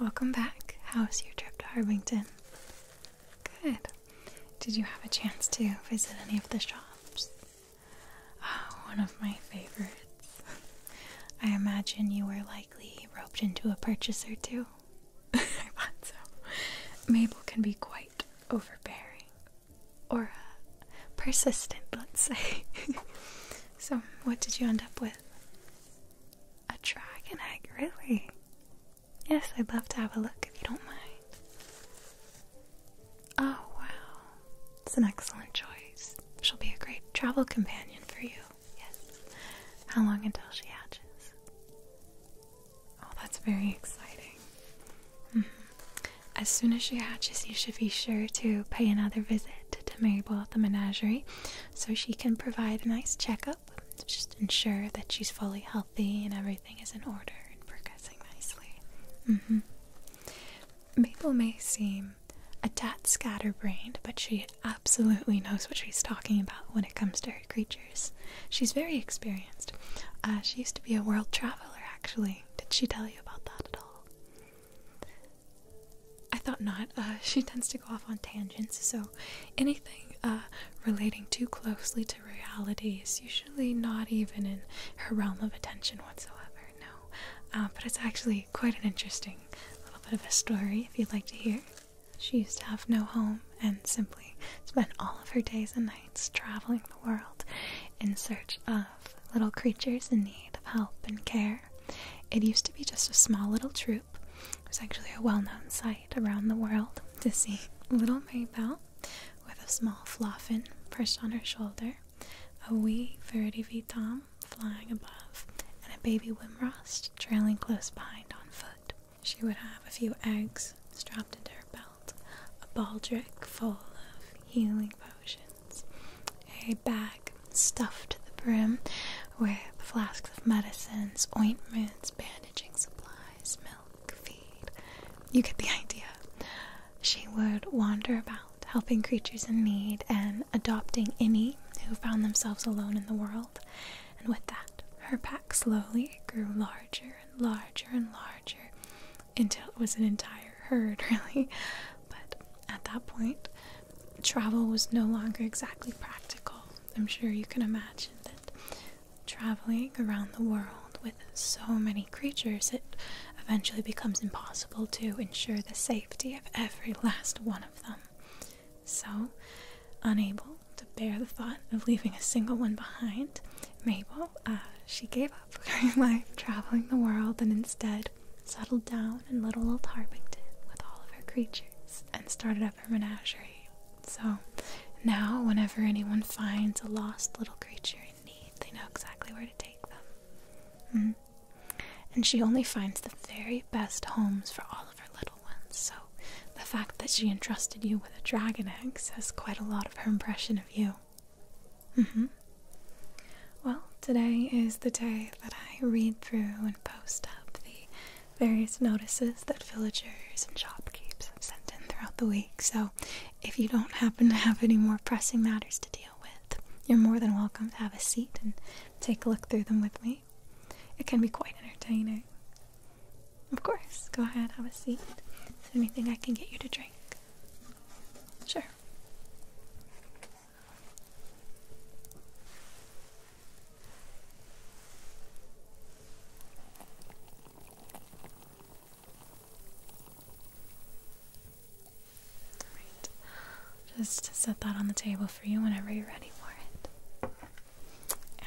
Welcome back. How was your trip to Harbington? Good. Did you have a chance to visit any of the shops? Ah, one of my favorites. I imagine you were likely roped into a purchase or two. I thought so. Mabel can be quite overbearing. Or uh, persistent, let's say. so, what did you end up with? A dragon egg, really? Yes, I'd love to have a look if you don't mind. Oh, wow. It's an excellent choice. She'll be a great travel companion for you. Yes. How long until she hatches? Oh, that's very exciting. Mm-hmm. As soon as she hatches, you should be sure to pay another visit to Mabel at the menagerie so she can provide a nice checkup. Just ensure that she's fully healthy and everything is in order and progressing nicely. Mm -hmm. Mabel may seem a tad scatterbrained, but she absolutely knows what she's talking about when it comes to her creatures. She's very experienced. Uh, she used to be a world traveler, actually. Did she tell you about that at all? I thought not. Uh, she tends to go off on tangents, so anything uh, relating too closely to reality is usually not even in her realm of attention whatsoever, no. but it's actually quite an interesting little bit of a story if you'd like to hear. She used to have no home and simply spent all of her days and nights traveling the world in search of little creatures in need of help and care. It used to be just a small little troop. It was actually a well known sight around the world to see little Maybelle with a small floffin perched on her shoulder, a wee Verity V flying above, and a baby Wimrost trailing close behind on foot. She would have a few eggs strapped into her belt, a baldric full of healing potions, a bag stuffed to the brim with flasks of medicines, ointments, bandaging supplies, milk, feed. You get the idea. She would wander about, helping creatures in need and adopting any who found themselves alone in the world and with that, her pack slowly grew larger and larger and larger until it was an entire herd, really. But at that point, travel was no longer exactly practical. I'm sure you can imagine that traveling around the world with so many creatures, it eventually becomes impossible to ensure the safety of every last one of them. So, unable to bear the thought of leaving a single one behind, Mabel, uh, she gave up her life traveling the world and instead settled down in little old Harpington with all of her creatures and started up her menagerie. So, now whenever anyone finds a lost little creature in need, they know exactly where to take them. Hmm. And she only finds the very best homes for all of her little so the fact that she entrusted you with a dragon egg says quite a lot of her impression of you. Mm hmm. Well, today is the day that I read through and post up the various notices that villagers and shopkeepers have sent in throughout the week, so if you don't happen to have any more pressing matters to deal with, you're more than welcome to have a seat and take a look through them with me. It can be quite entertaining, of course. Go ahead, have a seat. anything I can get you to drink? Sure. Just set that on the table for you whenever you're ready for it.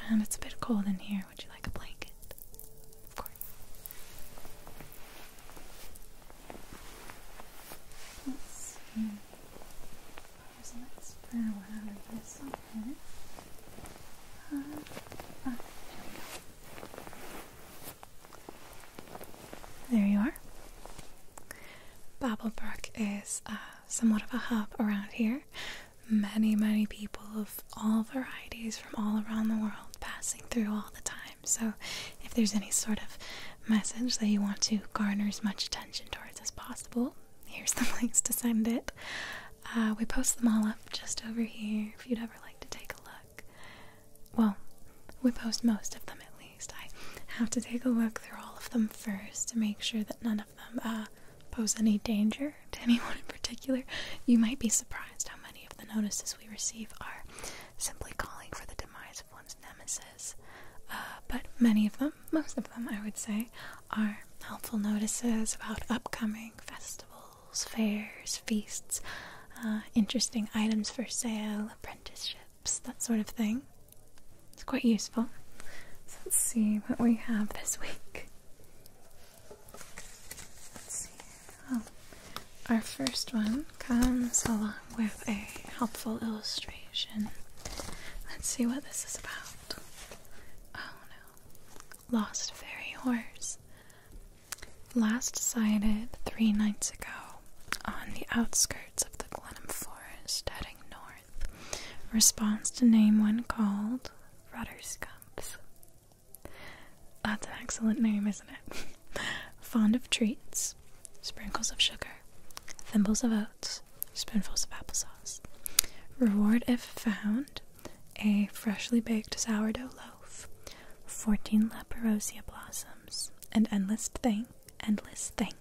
And it's a bit cold in here. Would you like a blanket? Of course. Let's see. Here's a nice one of this one. Uh, uh there you are. Babblebrook is uh, somewhat of a hub around here many, many people of all varieties from all around the world passing through all the time. So, if there's any sort of message that you want to garner as much attention towards as possible, here's the links to send it. Uh, we post them all up just over here if you'd ever like to take a look. Well, we post most of them at least. I have to take a look through all of them first to make sure that none of them uh, pose any danger to anyone in particular. You might be surprised how many of the notices we receive are simply calling for the demise of one's nemesis. Uh, but many of them, most of them, I would say, are helpful notices about upcoming festivals, fairs, feasts, uh, interesting items for sale, apprenticeships, that sort of thing. It's quite useful. So let's see what we have this week. Oh, our first one comes along with a helpful illustration. Let's see what this is about. Oh no. Lost fairy horse. Last sighted three nights ago on the outskirts of the Glenham Forest heading north. Response to name one called Rudder Rudderscumps. That's an excellent name, isn't it? Fond of treats, sprinkles of sugar, thimbles of oats, spoonfuls of applesauce. Reward if found a freshly baked sourdough loaf, 14 leperosia blossoms, and endless thing, endless thanks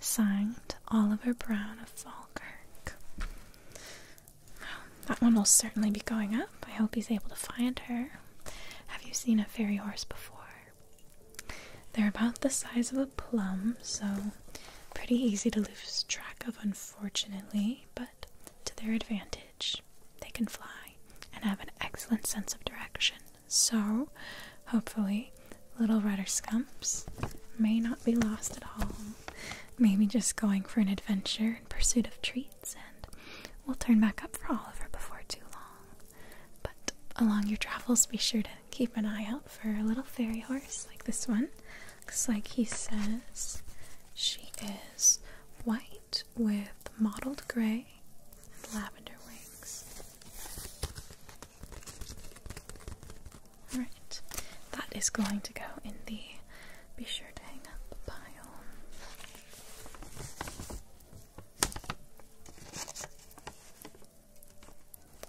Signed Oliver Brown of Falkirk. that one will certainly be going up. I hope he's able to find her. Have you seen a fairy horse before? They're about the size of a plum, so pretty easy to lose track of, unfortunately, but to their advantage, they can fly and have an excellent sense of direction. So, hopefully, little rudder scumps may not be lost at all. Maybe just going for an adventure in pursuit of treats, and we'll turn back up for Oliver before too long. But along your travels, be sure to keep an eye out for a little fairy horse like this one. Looks like he says she is white with mottled gray and lavender wings. Right, that is going to go in the be sure to hang up pile.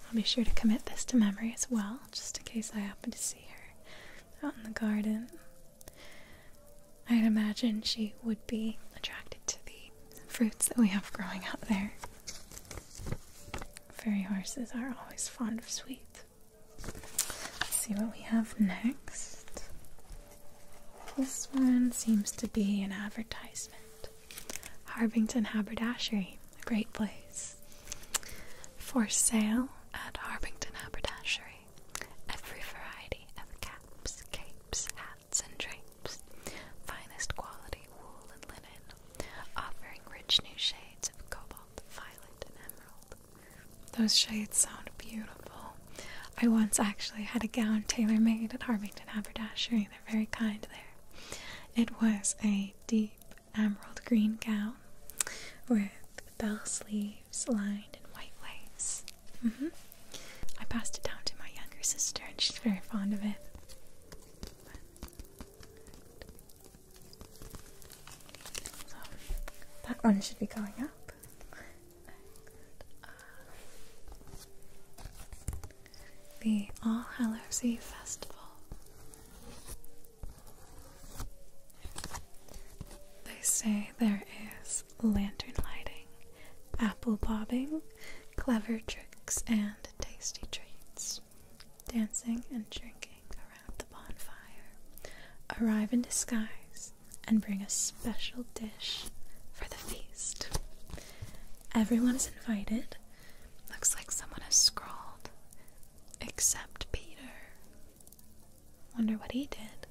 I'll be sure to commit this to memory as well, just in case I happen to see her out in the garden. I'd imagine she would be attracted to the fruits that we have growing out there. Fairy horses are always fond of sweet. Let's see what we have next. This one seems to be an advertisement. Harbington Haberdashery, a great place. For sale at Harbington Haberdashery, every variety of caps, capes, hats, and drapes, finest quality wool and linen, offering rich new shades of cobalt, violet, and emerald. Those shades sound beautiful. I once actually had a gown tailor made at Harmington Haberdashery. They're very kind there. It was a deep emerald green gown with bell sleeves lined in white lace. Mm-hmm. I passed it down to my younger sister, and she's very fond of it that one should be going up. the All Hallows Eve Festival. They say there is lantern lighting, apple bobbing, clever tricks, and tasty treats dancing and drinking around the bonfire, arrive in disguise and bring a special dish for the feast. Everyone is invited. Looks like someone has scrawled, except Peter. Wonder what he did.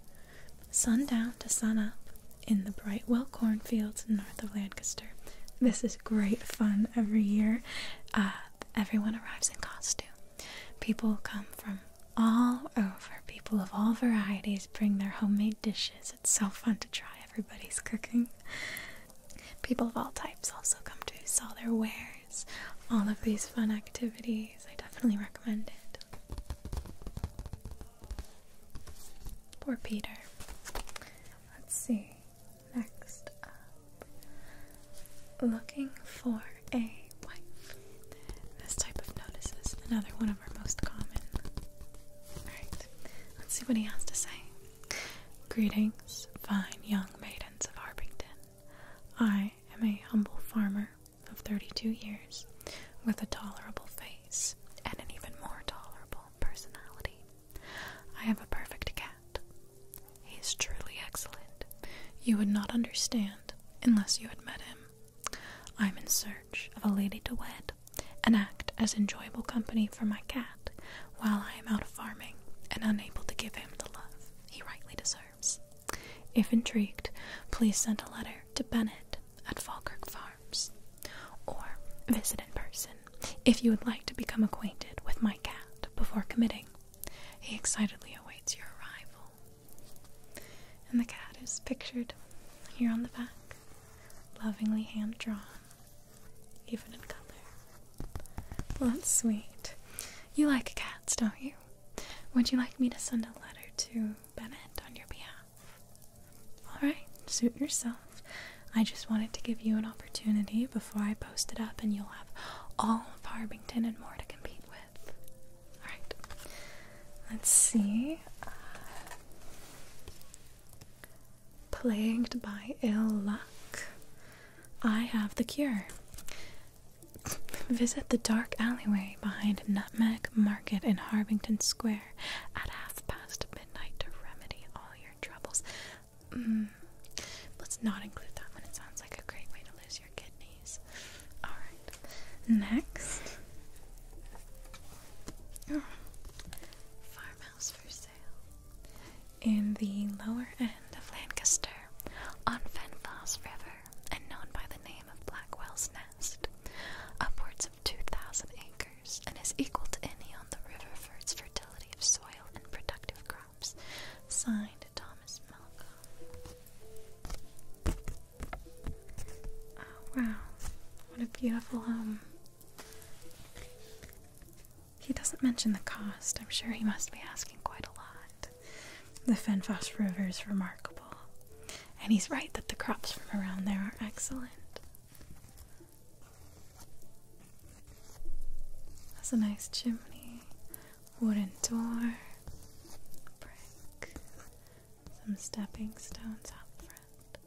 Sundown to sun up in the Brightwell cornfields north of Lancaster. This is great fun every year. Uh, everyone arrives in costume. People come from all over. People of all varieties bring their homemade dishes. It's so fun to try everybody's cooking. People of all types also come to sell their wares. All of these fun activities. I definitely recommend it. Poor Peter. Let's see. Next up, looking for a wife. This type of notice is another one of our most common. Alright, let's see what he has to say. Greetings, fine young maidens of Arbington. I am a humble farmer of 32 years with a tolerable face and an even more tolerable personality. I have a perfect cat he is truly excellent. You would not understand unless you had met him. I am in search of a lady to wed and act as enjoyable company for my cat while I am out of farming and unable to give him the love he rightly deserves. If intrigued, please send a letter to Bennett at Falkirk Farms or visit in person if you would like to become acquainted with my cat before committing, he excitedly awaits your arrival. And the cat is pictured here on the back, lovingly hand drawn, even in color. Well, that's sweet. You like cats, don't you? Would you like me to send a letter to Bennett on your behalf? Alright, suit yourself. I just wanted to give you an opportunity before I post it up, and you'll have all of Harbington and more to compete with. Alright, let's see. plagued by ill luck, I have the cure. Visit the dark alleyway behind Nutmeg Market in Harbington Square at half past midnight to remedy all your troubles. Mm. let's not include that one. It sounds like a great way to lose your kidneys. Alright. Next. Farmhouse for sale. In the lower end of Lancaster, on Fenfalls River, and known by the name of Blackwell's Nest, upwards of 2,000 acres, and is equal to any on the river for its fertility of soil and productive crops. Signed Thomas Malcolm. Oh, wow, what a beautiful home. He doesn't mention the cost. I'm sure he must be asking quite a lot. The Fenfoss River is remarkable. And he's right that the crops from around there are excellent. Has a nice chimney, wooden door, brick, some stepping stones out front,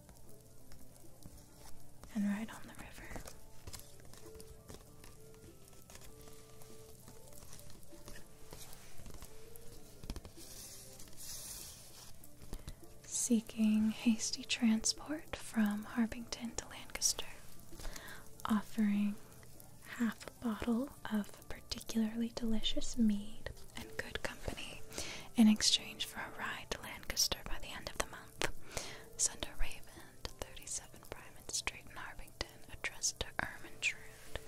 and right on the river. Seeking hasty transport from Harbington to Lancaster offering half a bottle of particularly delicious mead and good company in exchange for a ride to Lancaster by the end of the month. Send a raven to 37 Primate Street in Harbington, addressed to Ermintrude.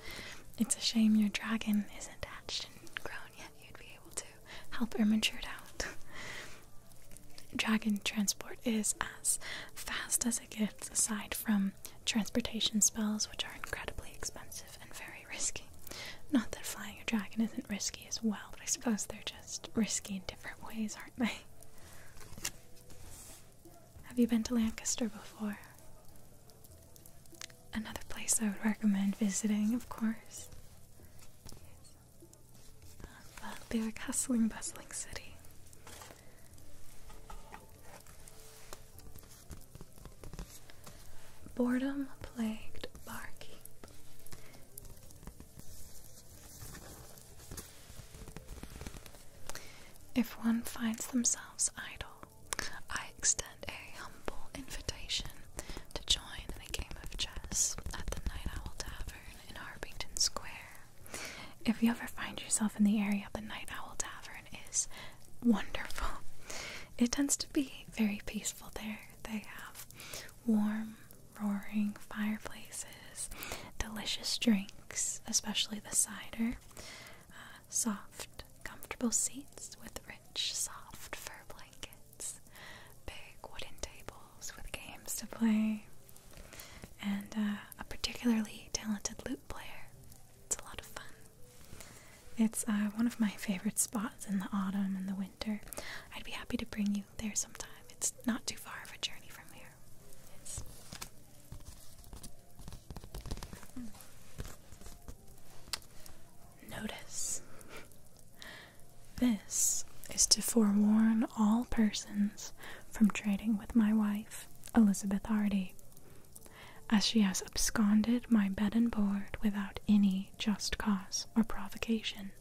It's a shame your dragon isn't hatched and grown yet. You'd be able to help Ermintrude out. Dragon transport is as fast as it gets, aside from transportation spells, which are incredibly expensive and very risky. Not that flying a dragon isn't risky as well, but I suppose they're just risky in different ways, aren't they? Have you been to Lancaster before? Another place I would recommend visiting, of course of the like bustling city. Boredom plagued Barkeep. If one finds themselves idle, I extend a humble invitation to join in a game of chess at the Night Owl Tavern in Harpington Square. If you ever find yourself in the area, the Night Owl Tavern is wonderful. It tends to be very peaceful there. They have warm, roaring fireplaces, delicious drinks, especially the cider, uh, soft, comfortable seats with rich, soft fur blankets, big wooden tables with games to play and uh, a particularly talented lute player. It's a lot of fun. It's uh, one of my favorite spots in the autumn and the winter. I'd be happy to bring you there sometime. It's not too far of a journey from here. Notice. This is to forewarn all persons from trading with my wife, Elizabeth Hardy, as she has absconded my bed and board without any just cause or provocation.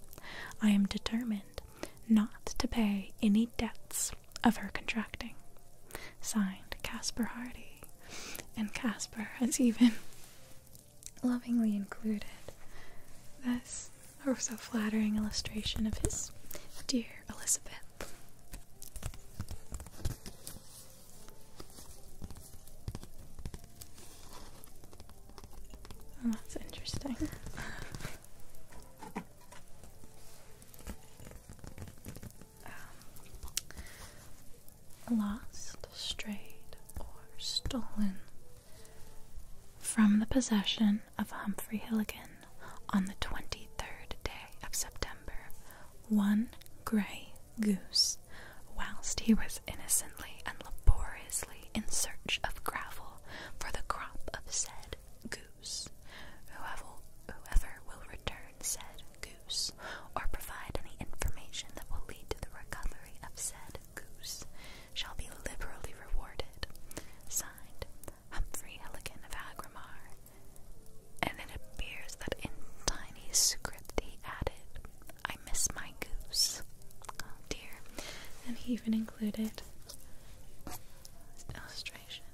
I am determined not to pay any debts of her contracting. Signed Caspar Hardy, and Caspar has even lovingly included this or so flattering illustration of his dear Elizabeth. Oh, that's interesting. Um, lost, strayed, or stolen from the possession of Humphrey Hilligan on the 23rd day of September, one gray goose, whilst he was innocently and laboriously in search of gravel for the crop of said goose. Whoever, whoever will return said goose or provide any information that will lead to the recovery of said goose shall be liberally rewarded. Signed, Humphrey Hilligan of Agrimar, and it appears that in tiny script he added, I miss my goose. Oh dear. And he even included illustration.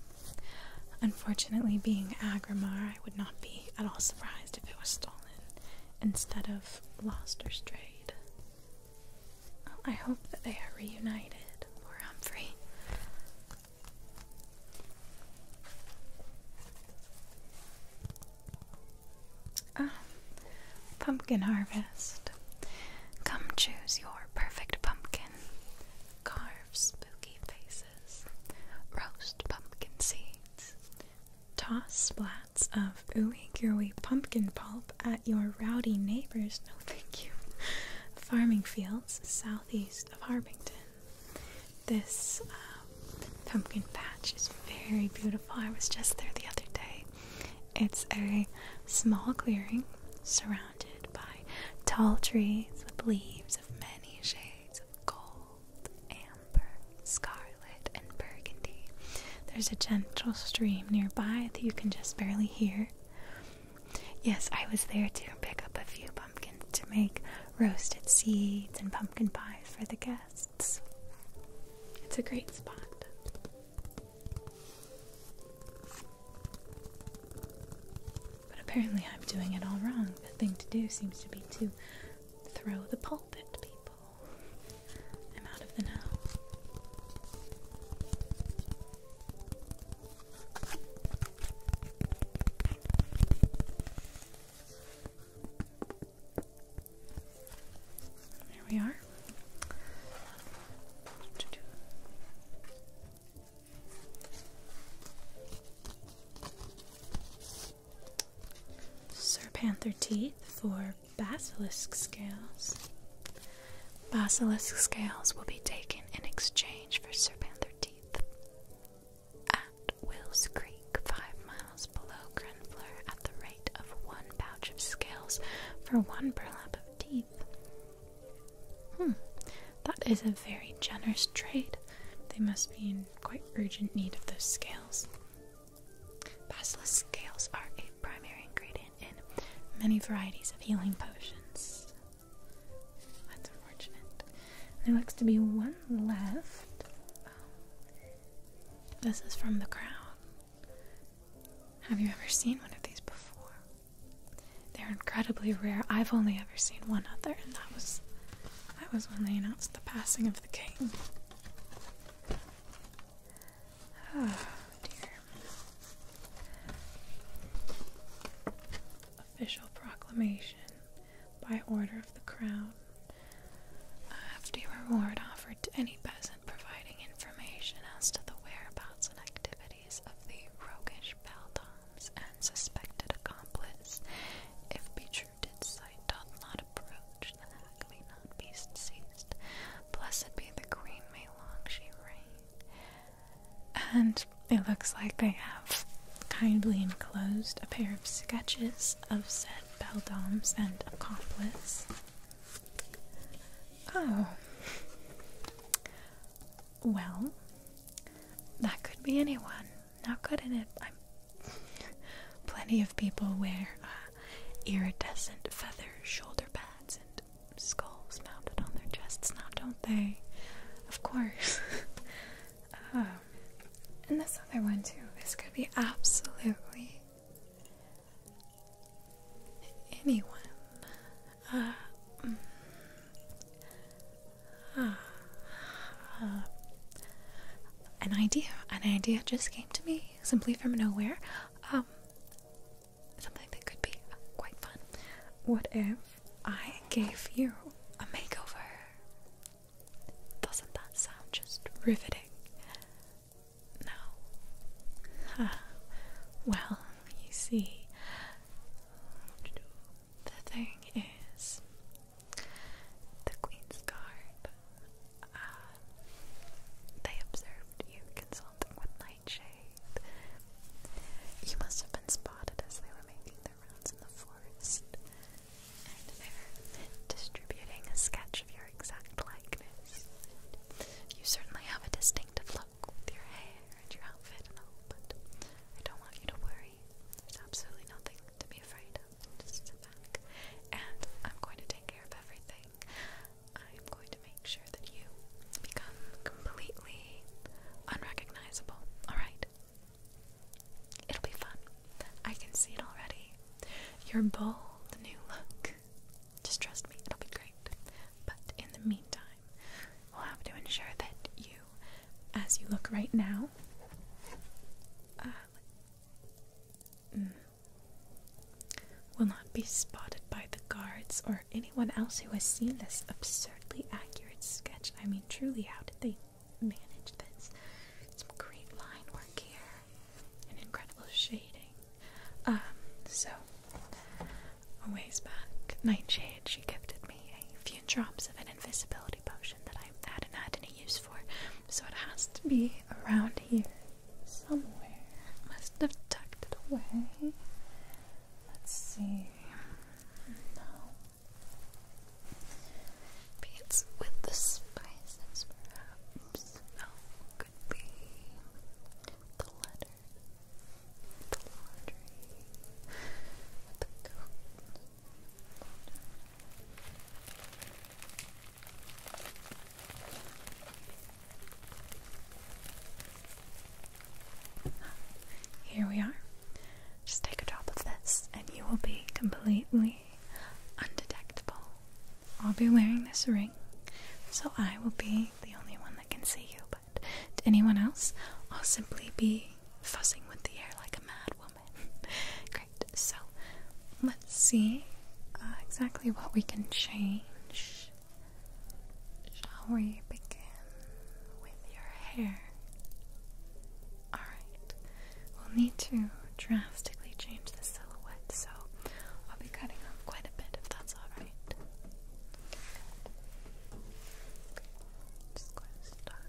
Unfortunately, being Agrimar, I would not be at all surprised if it was stolen instead of lost or strayed. Oh, I hope that they are reunited, poor Humphrey. Um, pumpkin harvest. Come choose your perfect pumpkin. Carve spooky faces. Roast pumpkin seeds. Toss splats of ooey gooey pumpkin pulp at your rowdy neighbors, no thank you, farming fields southeast of Harbington. This um, pumpkin patch is very beautiful. I was just there the other day. It's a small clearing surrounded by tall trees with leaves of many shades of gold, amber, scarlet, and burgundy. There's a gentle stream nearby that you can just barely hear. Yes, I was there to pick up a few pumpkins to make roasted seeds and pumpkin pies for the guests. It's a great spot. But apparently, I'm doing it all wrong. The thing to do seems to be to throw the pulpit. people. I'm out of the know. There we are. Sir Panther teeth for basilisk scales. Basilisk scales will be taken in exchange for Serpenther teeth. At Wills Creek, five miles below Grenfleur, at the rate of one pouch of scales for one burlap of teeth. Hmm, that is a very generous trade. They must be in quite urgent need of those scales. Basilisk scales are a primary ingredient in many varieties of healing potions. That's unfortunate. There looks to be one left. Um, this is from the crowd. Have you ever seen one of these before? They're incredibly rare. I've only ever seen one other, and that was that was when they announced the passing of the king. Oh, Official proclamation by order of the crown. A hefty reward offered to any peasant providing information as to the whereabouts and activities of the roguish Baldoms and suspected accomplice. If betruded sight doth not approach, the hack may not be seized. Blessed be the queen, may long she reign. And it looks like they have kindly enclosed a pair of sketches of said beldames and accomplice. Oh. Well, that could be anyone. Not good in it? I'm Plenty of people wear uh, iridescent feather shoulder pads and skulls mounted on their chests now, don't they? Of course. Um, and this other one, too. This could be absolutely anyone. Uh, mm, uh, an idea. An idea just came to me simply from nowhere. Um, something that could be quite fun. What if I gave you a makeover? Doesn't that sound just riveting? No. well, you see, the thing is, the Queen's Guard, uh, they observed you consulting with Nightshade. You must have been spotted as they were making their rounds in the forest, and they're distributing a sketch of your exact likeness. You certainly have a distinctive look with your hair and your outfit and but I don't want you to worry. There's absolutely nothing to be afraid of. Just sit back, and I'm going to take care of everything. I'm going to make sure that you become completely unrecognizable. Alright? It'll be fun. I can see it already. Your bold new look. Just trust me, it'll be great. But in the meantime, we'll have to ensure that you, as you look right now, uh, mm, will not be spotted by the guards or anyone else who has seen this absurdly accurate sketch. I mean, truly, how did they manage this? Some great line work here and incredible shading. Um, so, a ways back, Nightshade, she gifted me a few drops of an invisibility potion that I hadn't had any use for, so it has to be around here somewhere. Must have tucked it away. Let's see. No. Beets with the spices, perhaps. No, oh, could be the letter, the laundry, the coat. Here we are. Just take a drop of this, and you will be completely undetectable. I'll be wearing this ring, so I will be the only one that can see you, but to anyone else, I'll simply be fussing with the air like a mad woman. Great, so let's see uh, exactly what we can change. Shall we begin with your hair? Alright, we'll need to drastically change the silhouette, so I'll be cutting off quite a bit if that's alright. Just going to start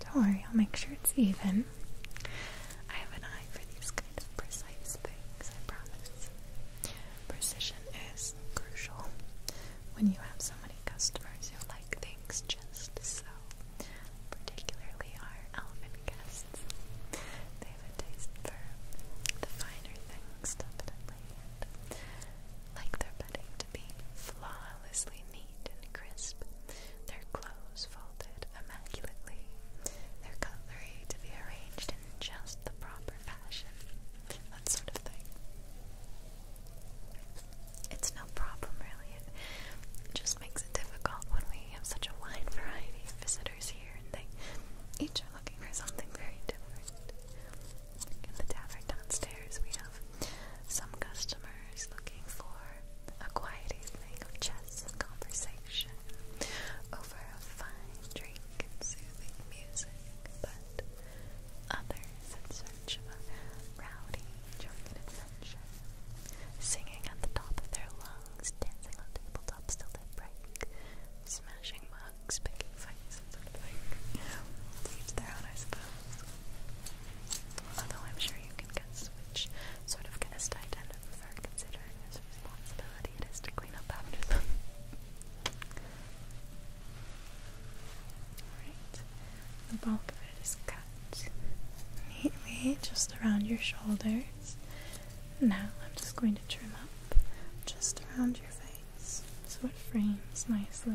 Don't worry, I'll make sure it's even. I have an eye for these kind of precise things, I promise. Precision is crucial when you have so many customers who like things just so, particularly our elven guests. They have a taste for the finer things, definitely like their bedding to be flawlessly neat and crisp, their clothes folded immaculately, their cutlery to be arranged in just the proper fashion, that sort of thing. It's no problem, really. It just makes it difficult when we have such a wide variety of visitors here and they each are looking for something very different. In the tavern downstairs, we have some customers looking for a quiet evening of chess and conversation over a fine drink and soothing music, but others in search of a rowdy, joking adventure, singing at the top of their lungs, dancing on tabletops till they break, smashing mugs, picking fights sort of like leaves their own, I suppose. Although I'm sure you can guess which sort of guest I tend to prefer, considering whose responsibility it is to clean up after them. Alright, the bulk of it is cut neatly just around your shoulders. Now I'm just going to trim up just around your face so it frames nicely.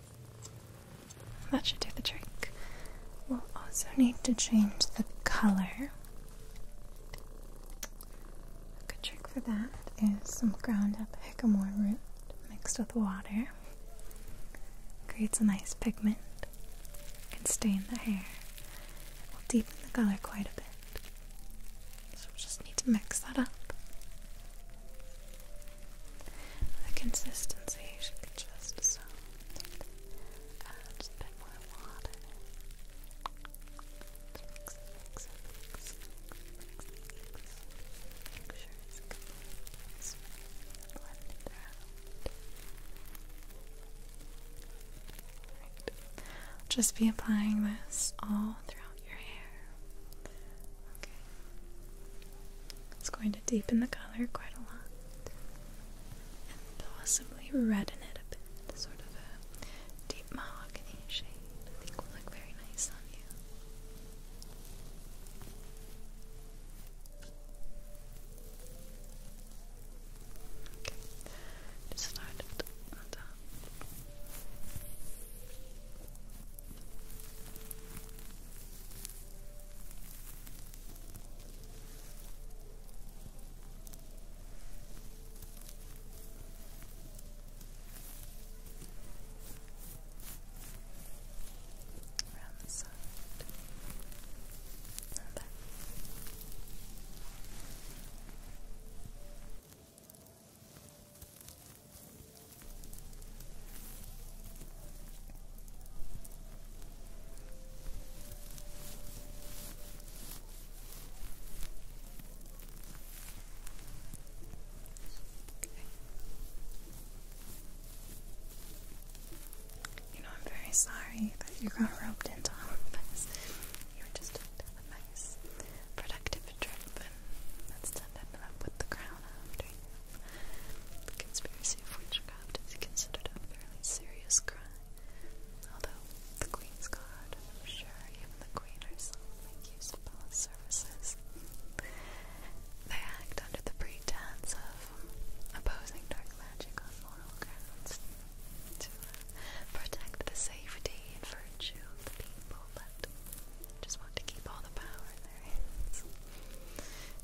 That should do the trick. We'll also need to change the color. A good trick for that is some ground up hickamore root mixed with water. Creates a nice pigment. and stain the hair. will deepen the color quite a bit. So we'll just need to mix that up. The consistency should be just so just Just be applying this all throughout your hair. Okay. It's going to deepen the color quite a lot and possibly redden it a bit, sort of a deep mahogany shade. I think will look very nice on you. Okay, just Around the side and back. Good. You know, I'm very sorry that you got roped into all of this. You were just a nice, productive trip, and ended up with the crown after you. The conspiracy of witchcraft is considered a fairly serious crime, although the Queen's Guard, I'm sure even the Queen herself, make use of palace services. They act under the pretense of opposing dark magic on moral grounds to uh, protect the safety and virtue of the people, but just want to keep all the power in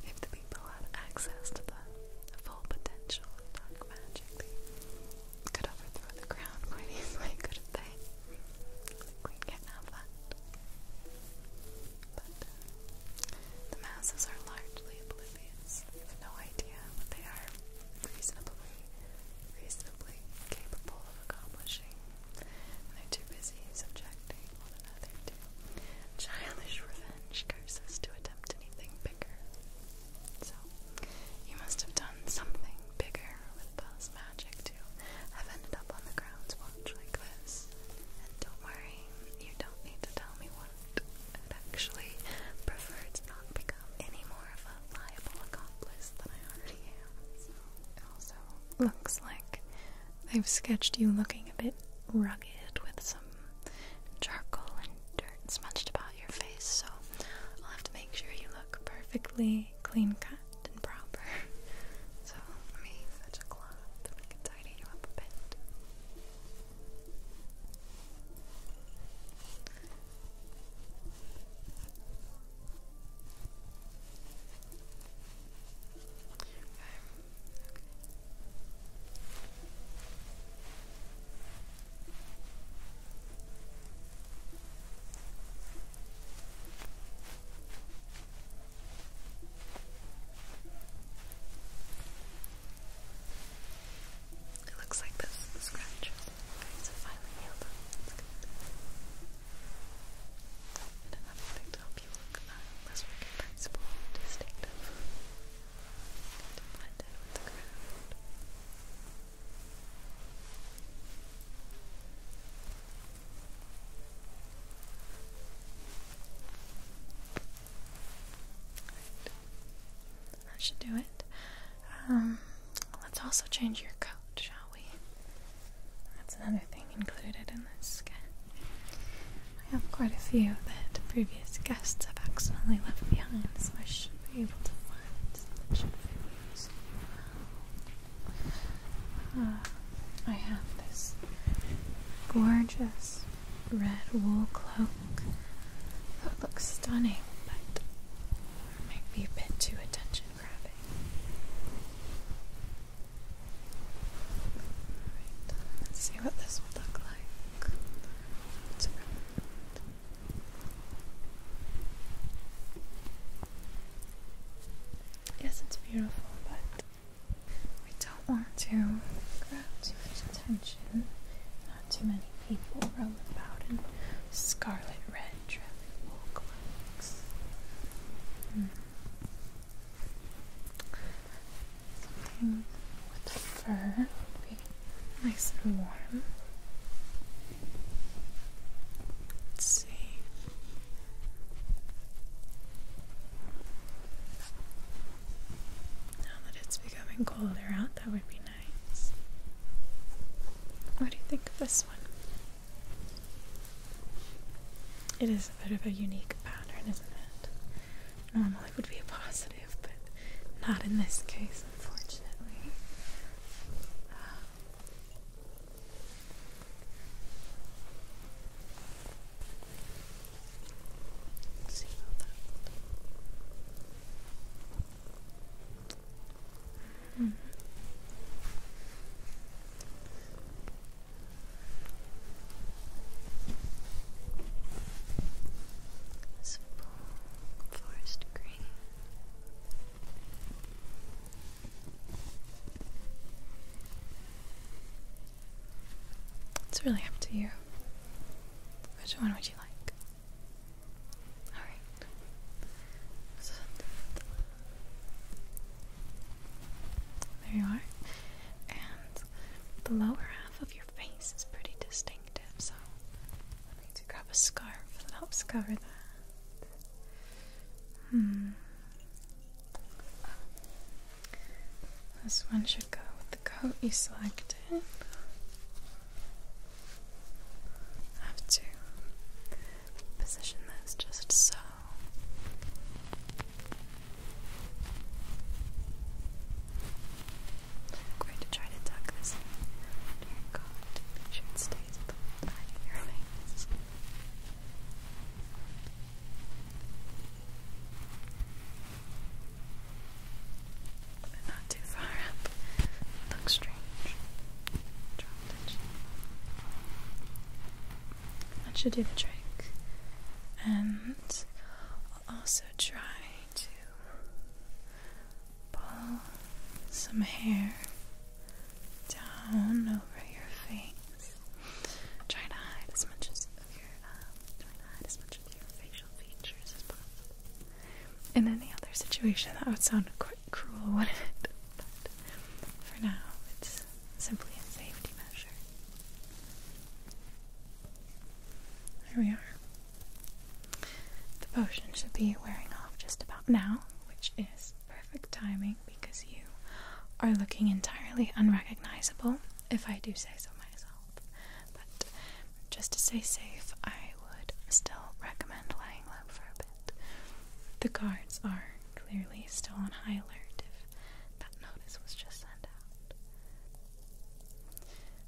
if the people had access to the full potential dark magic, they could overthrow the crown quite easily, couldn't they? The can't have that. But uh, the masses are largely oblivious. have no idea what they are reasonably, reasonably capable of accomplishing. And they're too busy subjecting another too. Childish revenge curses to attempt anything bigger. So, you must have done something bigger with Belle's magic to have ended up on the grounds watch like this. And don't worry, you don't need to tell me what. I'd actually prefer to not become any more of a liable accomplice than I already am. So, it also looks like I've sketched you looking a bit rugged with some charcoal and dirt smudged about your face, so I'll have to make sure you look perfectly clean cut and proper. So let me fetch a cloth and we can tidy you up a bit. It looks like this the scratches. finally healed up. That's good. And another you look uh, less recognizable distinctive. That should do it. Um, let's also change your coat, shall we? That's another thing included in this I have quite a few that previous guests have accidentally left behind, so I should be able to find some videos. Uh, I have this gorgeous red wool cloak that looks stunning, but might be a bit too attention grabbing. Right, let's see what this would look like. Yes, it's beautiful, but we don't want to grab too much attention. Not too many people roam about in scarlet red traffic walk mm. Something with fur would be nice and warm. Let's see. Now that it's becoming colder out, that would be nice. What do you think of this one? It is a bit of a unique pattern, isn't it? normally would be a positive, but not in this case, unfortunately. see about that. It's really up to you. Which one would you like? Alright. there you are. And the lower half of face is pretty distinctive, so i need to grab a scarf that helps cover that. Hmm. This one should go with the coat you selected. have to position this just so i try to tuck this in your coat make sure it stays at the But not too far up. looks strange. Drop that That should do the trick. And also so try to pull some hair down over your face. Try to hide as much as uh, your facial features as possible. In any other situation, that would sound quite cruel, wouldn't it? But for now, it's simply a safety measure. There we are. The potion should be wearing off just about now, which is perfect timing because you are looking entirely unrecognizable, if I do say so myself. But just to stay safe, I would still recommend lying low for a bit. The guards are clearly still on high alert if that notice was just sent out.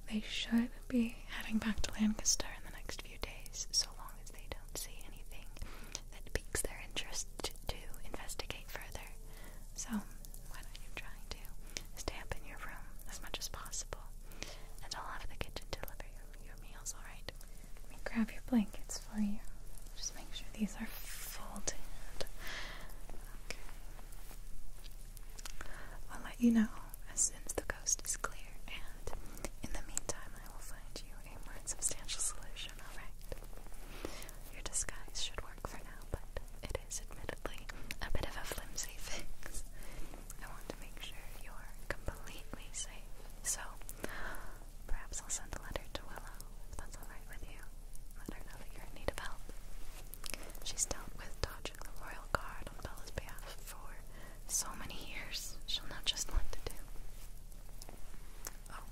They should be heading back to Lancaster in the next few days, so long as they don't see anything that piques their interest to, investigate further. So, why don't you try to stay up in your room as much as possible? And I'll have the kitchen deliver your, your meals, alright? Let me grab your blankets for you. Just make sure these are folded. Okay. I'll let you know as soon as the coast is clear, and in the meantime, I will find you a more substantial solution, alright? Your disguise should work for now, but it is admittedly a bit of a flimsy fix. I want to make sure you're completely safe, so perhaps I'll send a letter to Willow if that's alright with you. Let her know that you're in need of help. She's dealt with dodging the royal guard on Bella's behalf for so many years. She'll know just what to do. Oh,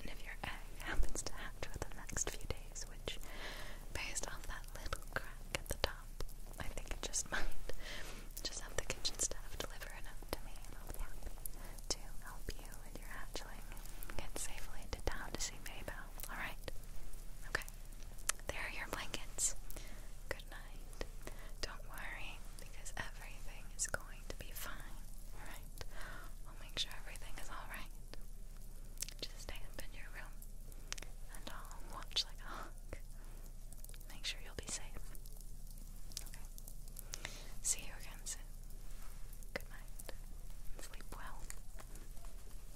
and if your egg happens to hatch within the next few days, which, based off that little crack at the top, I think it just might. Just have the kitchen staff deliver it up to me, and I'll be happy to help you with your hatchling get safely to town Maybell. Alright? Okay. There are your blankets. Good night. Don't worry, because everything is going to be fine. Alright? We'll make sure everything is alright. Just stay up in your room and I'll watch like a hawk. Make sure you'll be safe. Okay. See you again soon. Good night. Sleep well.